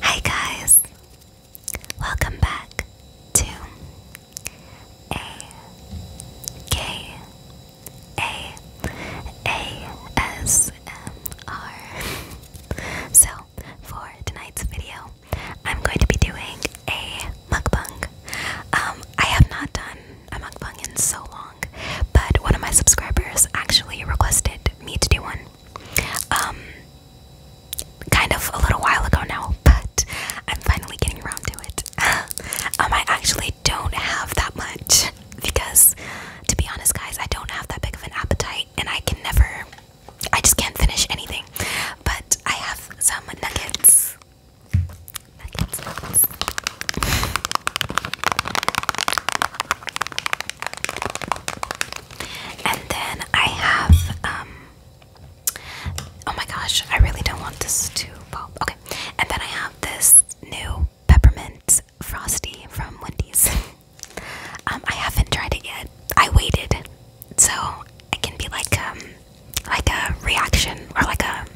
Hi, guys, welcome back to A K A A S M R. So, for tonight's video, I'm going to be doing a mukbang. Um, I have not done i a mukbang in so long, but one of my subscribers actually requested me to do one. Um, kind of a little while ago now, but I'm finally getting around to it. um, I actually don't have that much because, to be honest, guys, I don't have that big of an appetite, and I can never, I just can't finish anything. But I have some Nuggets, nuggets. And then I have, um, oh my gosh, I really don't want this to pop. Okay. And then I have this new peppermint frosty from Wendy's. um, I haven't tried it yet. I waited. So it can be like, um, like a reaction or like a,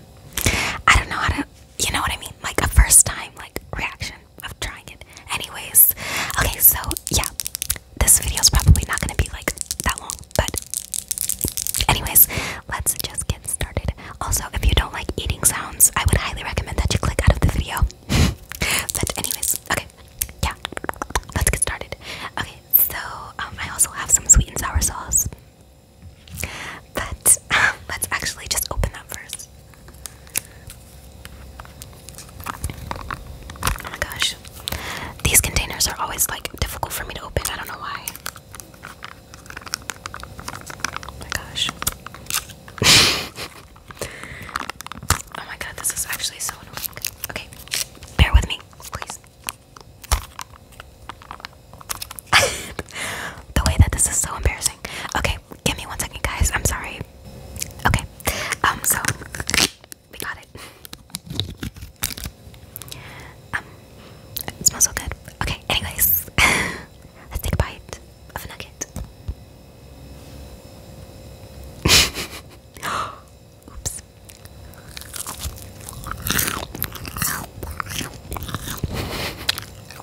I don't know how to you know what I mean? Like a first time like reaction of trying it. Anyways, okay, so yeah, this video is probably not gonna be like that long, but anyways, let's just get started. Also, if you don't like eating sounds, I would highly recommend that you click out of the video. but anyways, okay, yeah, let's get started. Okay, so um, I also have some sweet and sour sauce. But um, let's actually just open that first. Oh my gosh. These containers are always like difficult for me to open. I don't know why. Oh my gosh. oh my god, this is actually so annoying. Okay, bear with me, please. the way that this is so embarrassing. Okay, give me one second, guys. I'm sorry. Okay, um, so we got it. Um, it smells so good. Okay, anyways, let's take a bite of a nugget. Oops.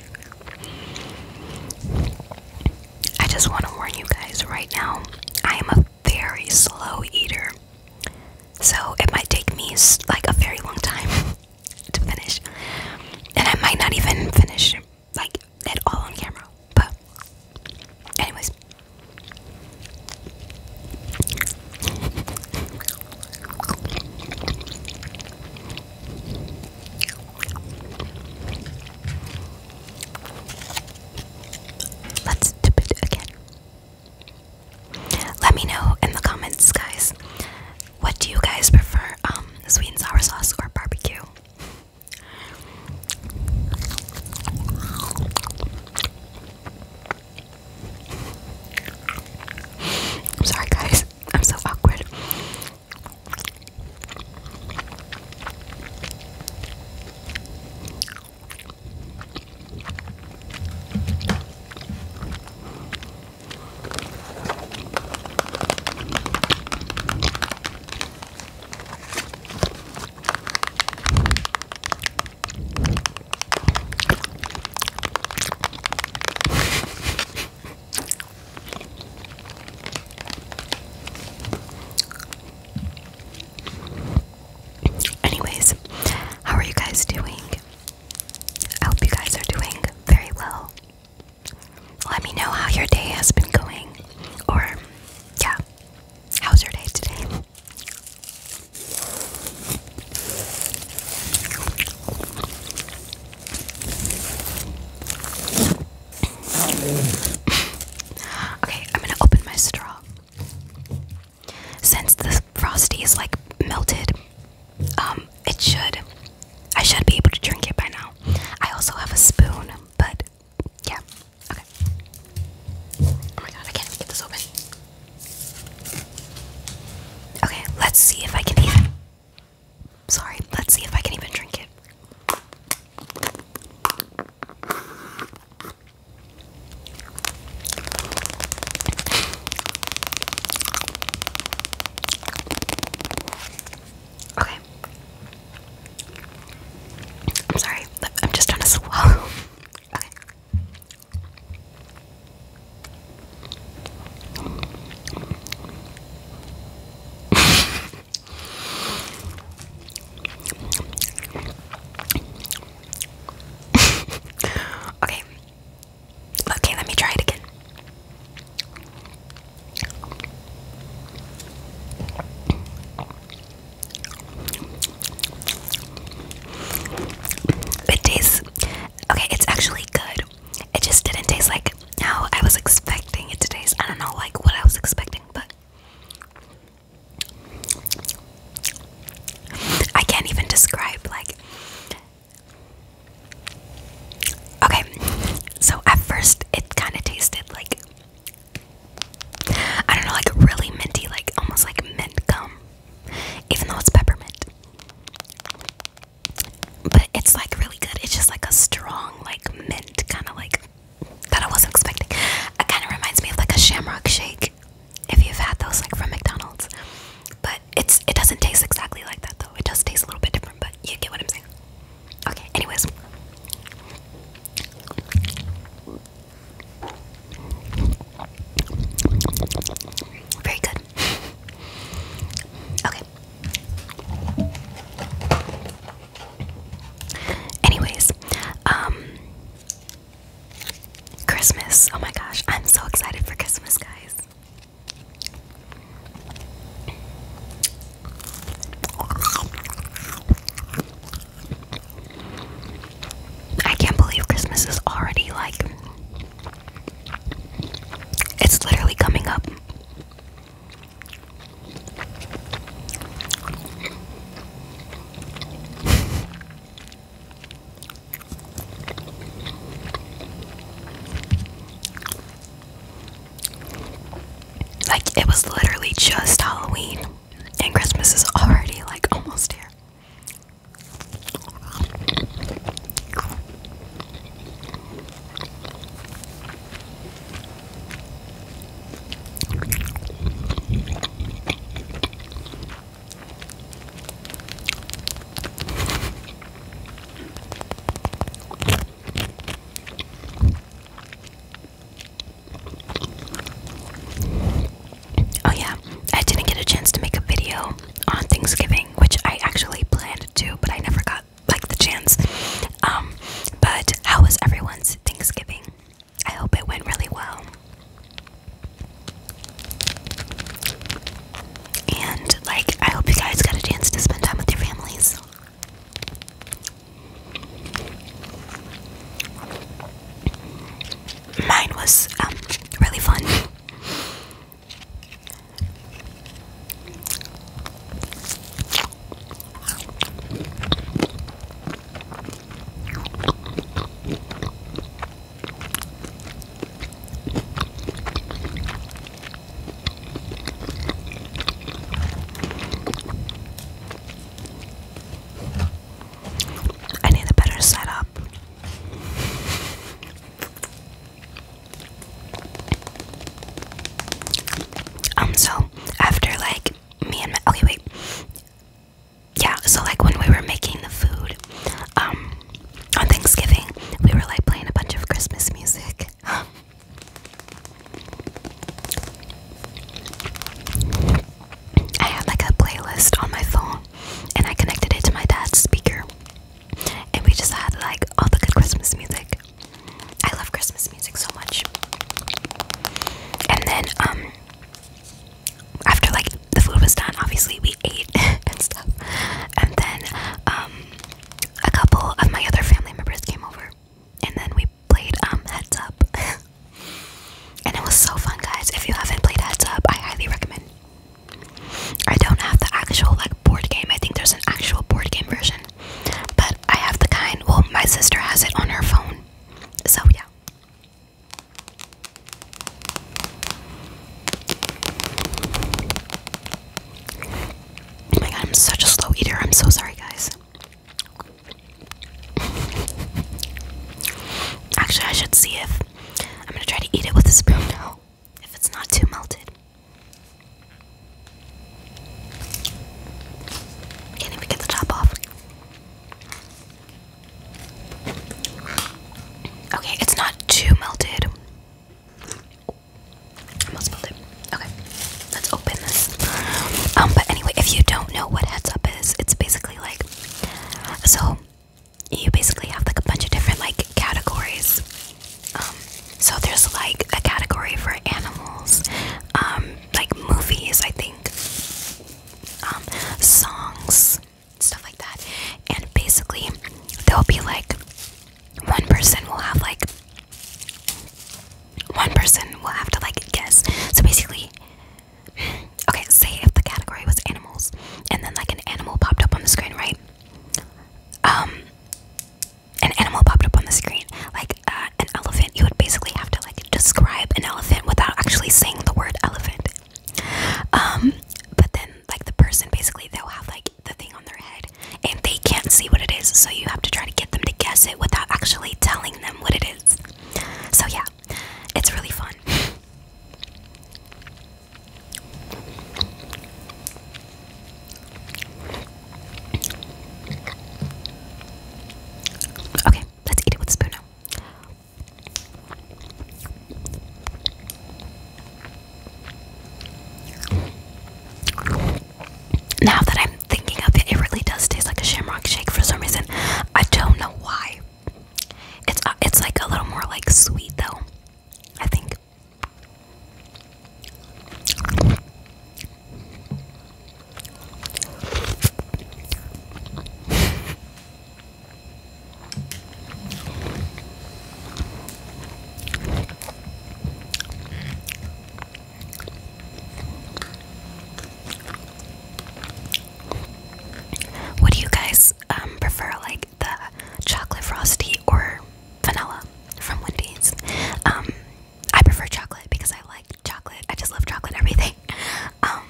I just want to warn you guys right now, I am a very slow eater. So it might take me like a very long time to finish. And I might not even finish like at all on camera. But anyways. Let's dip it again. Let me know in the comments, guys. What do you guys prefer, um, sweet and sour sauce or barbecue? sorry, guys. I'm so awkward. Anyways, how are you guys doing? I hope you guys are doing very well. Let me know how your day has been going. Or, yeah, how's your day today? Okay, I'm gonna open my straw. Since the frosty is like melted, um, it should. I should be able to drink it by now. I also have a spoon, but yeah. Okay. Oh my god, I can't get this open. Okay, let's see if I can eat it. Sorry, let's see if I can even drink it. Okay. I'm sorry, I'm just trying to swallow. Okay. okay. Okay, let me try it again. It tastes okay, it's actually good it just didn't taste like how I was expecting it to taste. I don't know, like what I was expecting, but I can't even describe. Like, okay, so at first it kind of tasted like I don't know, like really minty, like almost like mint gum, even though it's peppermint but it's like really good. It's just like a strong, like mint kind of like that I wasn't expecting. It kind of reminds me of like a shamrock shake, if you've had those like from McDonald's. But it's it doesn't taste exactly like that though. It does taste a little bit different, but you get what I'm saying. Okay. Anyways. Very good. okay. Anyways, um Christmas. Oh my gosh, I'm so excited for Christmas, guys. I can't believe Christmas is already like it's literally coming up. Like, it was literally just Halloween, and Christmas is already like almost here. Oh, yeah, I didn't get a chance to make a video on Thanksgiving which I actually planned to but I never got like the chance. Um, but how was everyone's Thanksgiving? I hope it went really well. And like I hope you guys got a chance to spend time with your families. Mine was um, really fun. I need a better setup. Um, so after like me and my okay, wait, yeah, so like when we were making the food, um, on Thanksgiving, we were like playing a bunch of Christmas music. I had like a playlist on my phone and I connected it to my dad's speaker and we just had like all the good Christmas music. I love Christmas music so much. And then um after like the food was done, obviously we ate and stuff. And then um a couple of my other family members came over and then we played um Heads Up. and it was so fun guys. If you haven't played Heads Up, I highly recommend I don't have the actual like board game. I think there's an actual board game version. But I have the kind, well, my sister has it on her phone. So, yeah. Oh my god, I'm such a slow eater. I'm so sorry, guys. Actually, I should see if I'm gonna try to eat it with a spoon now if it's not too melted. Can't even get the top off. Okay, it's not too melted. Almost melted. Okay, let's open this. Um, but anyway, if you don't know what heads up is, it's basically like so you basically have like a bunch of different like categories. Um, so there's like a category for animals, um, like movies, I think, um, songs, stuff like that. And basically, there'll be like one person will have like one person will have to like guess. So basically, okay, say if the category was animals, and then like an animal popped up on the screen, right? Um, an animal popped up on the screen, like uh, an elephant. You would basically have to like describe an elephant without actually saying the word elephant. Um, but then like the person basically they'll have like the thing on their head and they can't see what it is, so you have to try to get them to guess it without actually telling them what it is. So yeah, it's really fun. Okay, let's eat it with a spoon now. Now that I'm thinking of it, it really does taste like a shamrock shake for some reason. I don't know why. It's uh, it's like a little more like sweet though. I think. What are you guys always um, prefer like the chocolate frosty or vanilla from Wendy's. Um, I prefer chocolate because I like chocolate. I just love chocolate everything. Um,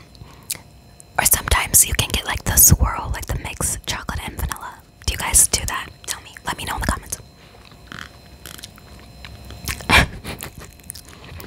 or sometimes you can get like the swirl, like the mix chocolate and vanilla. Do you guys do that? Tell me. Let me know in the comments.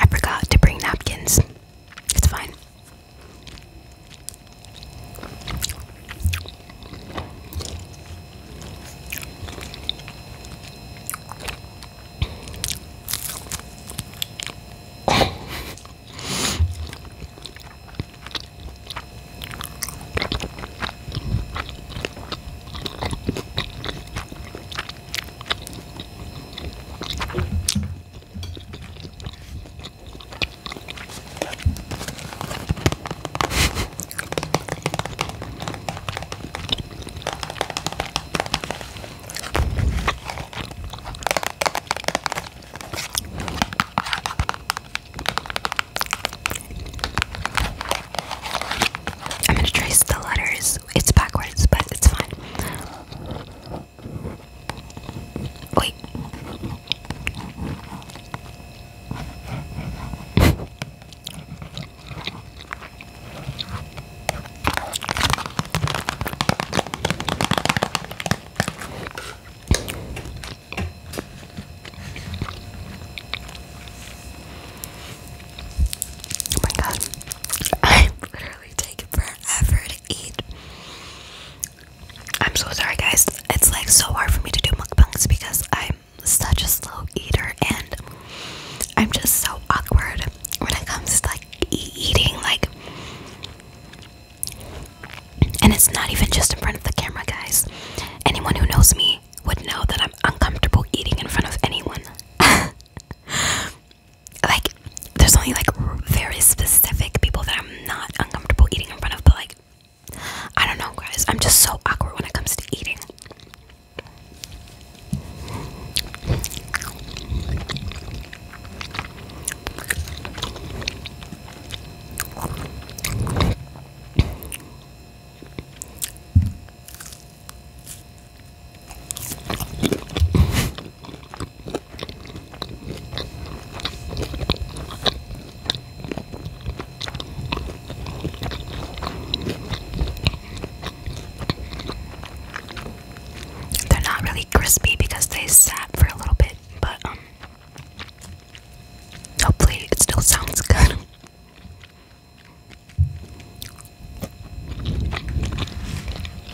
i forgot to bring napkins. It's fine. I'm gonna trace the letters. It's backwards, but it's fine. Wait. Oh my god, i literally taking forever eat. I'm so sorry, guys. It's like so hard for me to do mukbangs because I'm such a slow eater and I'm just so awkward when it comes to like eating. Like, and it's not even just in front of the camera, guys. Anyone who knows me would know that I'm uncomfortable eating in front of anyone. like there's only like very specific people that I'm not uncomfortable eating in front of, but like I don't know, guys. I'm just so awkward when it comes to eating. They're not really crispy because they sat for a little bit, but um, hopefully it still sounds good.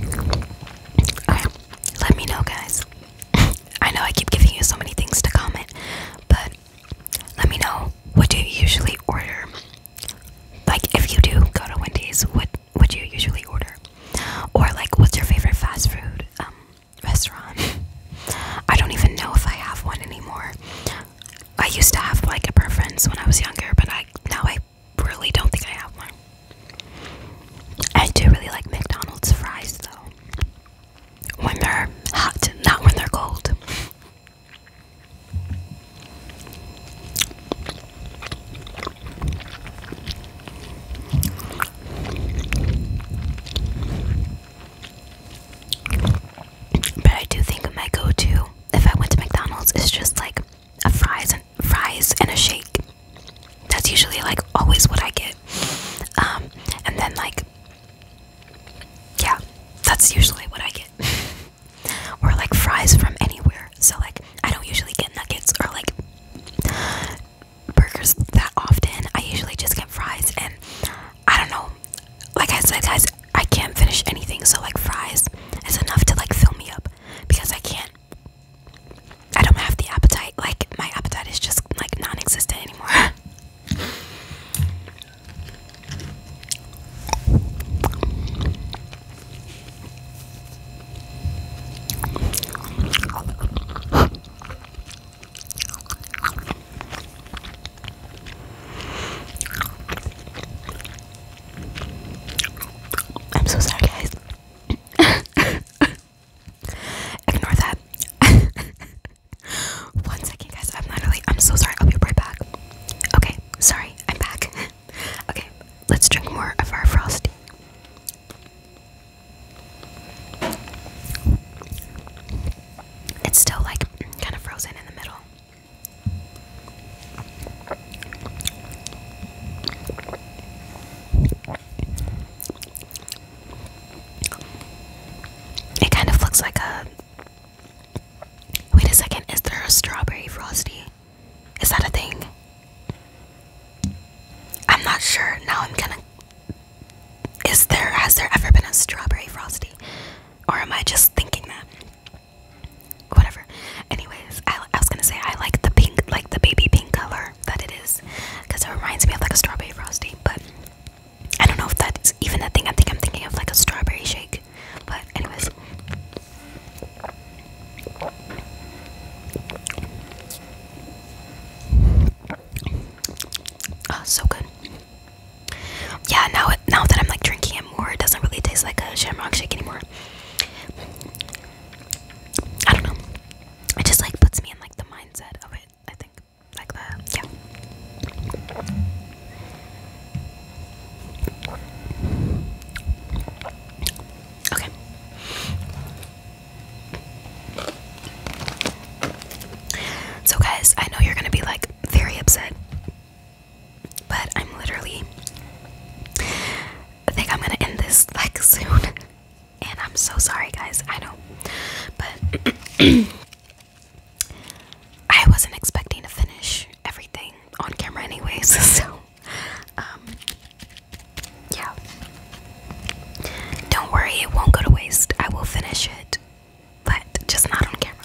Okay, let me know, guys. I know I keep giving you so many things to comment, but let me know what do you usually order. Like, if you do go to Wendy's, what would you usually order? Or like, what's your favorite fast food um, restaurant? I don't even know if I have one anymore. I used to have like a preference when I was younger, but I now I really don't think I have one. I do really like McDonald's fries though. When they're hot, not when they're cold. But I do think my go to if I went to McDonald's, it's just like a fries and fries and a shake. That's usually like always what I get. Um, and then like yeah, that's usually what I get. or like fries from anywhere. So like I don't usually get nuggets or like burgers that often. I usually just get fries and I don't know. Like I said guys, I can't finish anything, so like fries is enough to like fill me up because I can't. I don't have the appetite. Like my appetite is just like non-existent anymore. I'm so sorry, guys. Ignore that. One second, guys. I'm literally. I'm so sorry. I'll be right back. Okay, sorry. I'm back. okay, let's drink more of our frosty. It's still like kind of frozen in the middle. It kind of looks like a. Wait a second, is there a strawberry frosty? Is that a thing? I'm not sure. Now I'm gonna. Is there. Has there ever been a strawberry frosty? Or am I just thinking that? whatever. Anyways, I, was gonna say I like the pink, like the baby pink color that it is, because it reminds me of like a strawberry frosty. But I don't know if that's even that thing. I think I'm thinking of like a strawberry shake. But anyways. Oh, so good. Yeah, now now that I'm like drinking it it It doesn't really taste like a shamrock shake anymore. I don't know. It just like puts me in like the mindset of it, I think. Like that. Yeah. Okay. So guys, I know you're gonna be like very upset but I'm literally. I think I'm gonna end this like soon. And I'm so sorry, guys. I know. But I wasn't expecting to finish everything on camera, anyways. So, um, yeah. Don't worry, it won't go to waste. I will finish it, but just not on camera.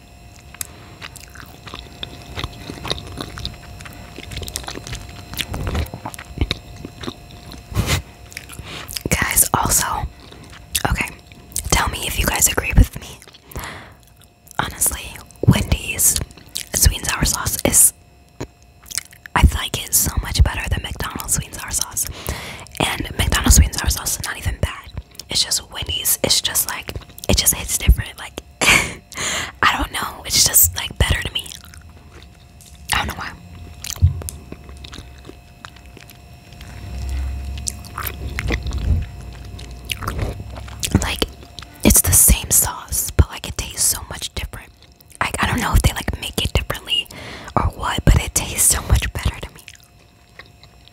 guys, also, okay, tell me if you guys agree with me. Honestly, Wendy's sweet and sour sauce is. I think it's so much better than McDonald's sweet and sour sauce. And McDonald's sweet and sour sauce is not even bad. It's just Wendy's, it's just like, it just hits different. Like, I don't know. It's just like better to me. I don't know why. Like it's the same sauce, but like it tastes so much different. Like I don't know if they like make it differently or what, but it tastes so much better to me.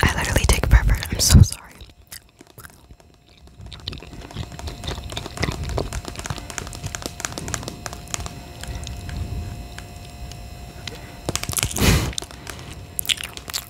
I literally take forever. I'm so sorry.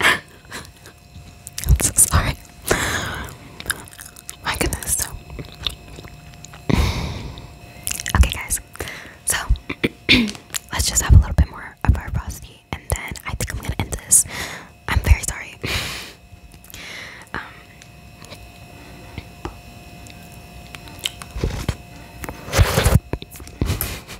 I'm so sorry. My goodness. Okay, guys. So let's just have a little bit more of our frosty, and then I think I'm gonna end this. I'm very sorry. Um,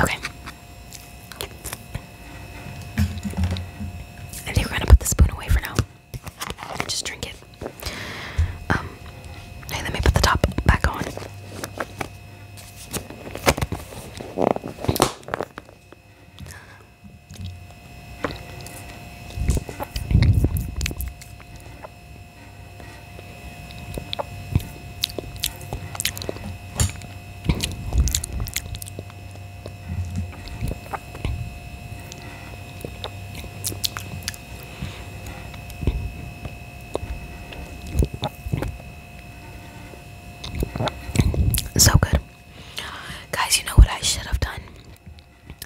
Okay. I think we're gonna put the spoon away for now. just drink it. Um, hey, let me put the top back on. So good. Guys, you know what I should have done?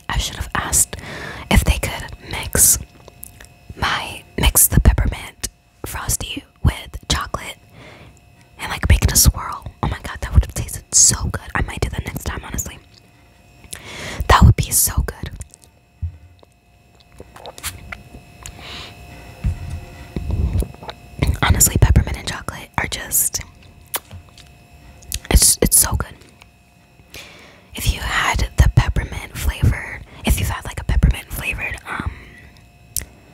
I should have asked if they could mix my mix the peppermint frosty with chocolate and like making a swirl. Oh my god, that would have tasted so good. I might do that next time, honestly. That would be so good. Honestly, peppermint and chocolate are just it's it's so good. If you had the peppermint flavored, if you've had like a peppermint flavored um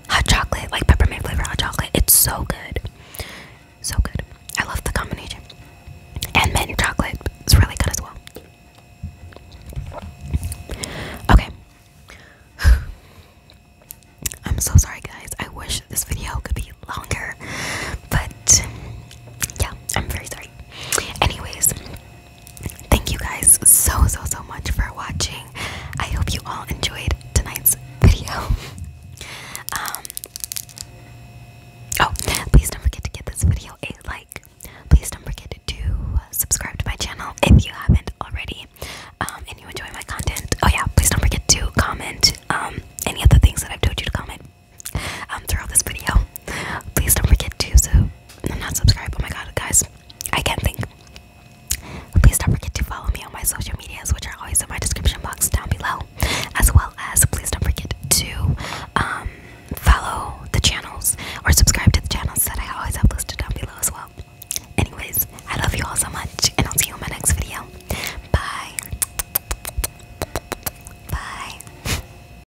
hot chocolate, like peppermint flavored hot chocolate, it's so good. So good. I love the combination. And mint chocolate is really good as well. Okay. I'm so sorry guys. I wish this video could be longer. But yeah, I'm very sorry. Anyways, Thank you guys so, so, so much for watching. I hope you all enjoyed tonight's video. um, oh, please don't forget to give this video a like. Please don't forget to uh, subscribe to my channel if you haven't already um, and you enjoy my content. Oh, yeah, please don't forget to comment um, any of the things that I've told you to comment um, throughout this video. Please don't forget to not subscribe. Oh my god, guys, I can't think. Please don't forget to follow me on my social medias, which are always in my description box down below. As well as, please don't forget to um, follow the channels or subscribe to the channels that I always have listed down below as well. Anyways, I love you all so much, and I'll see you in my next video. Bye. Bye.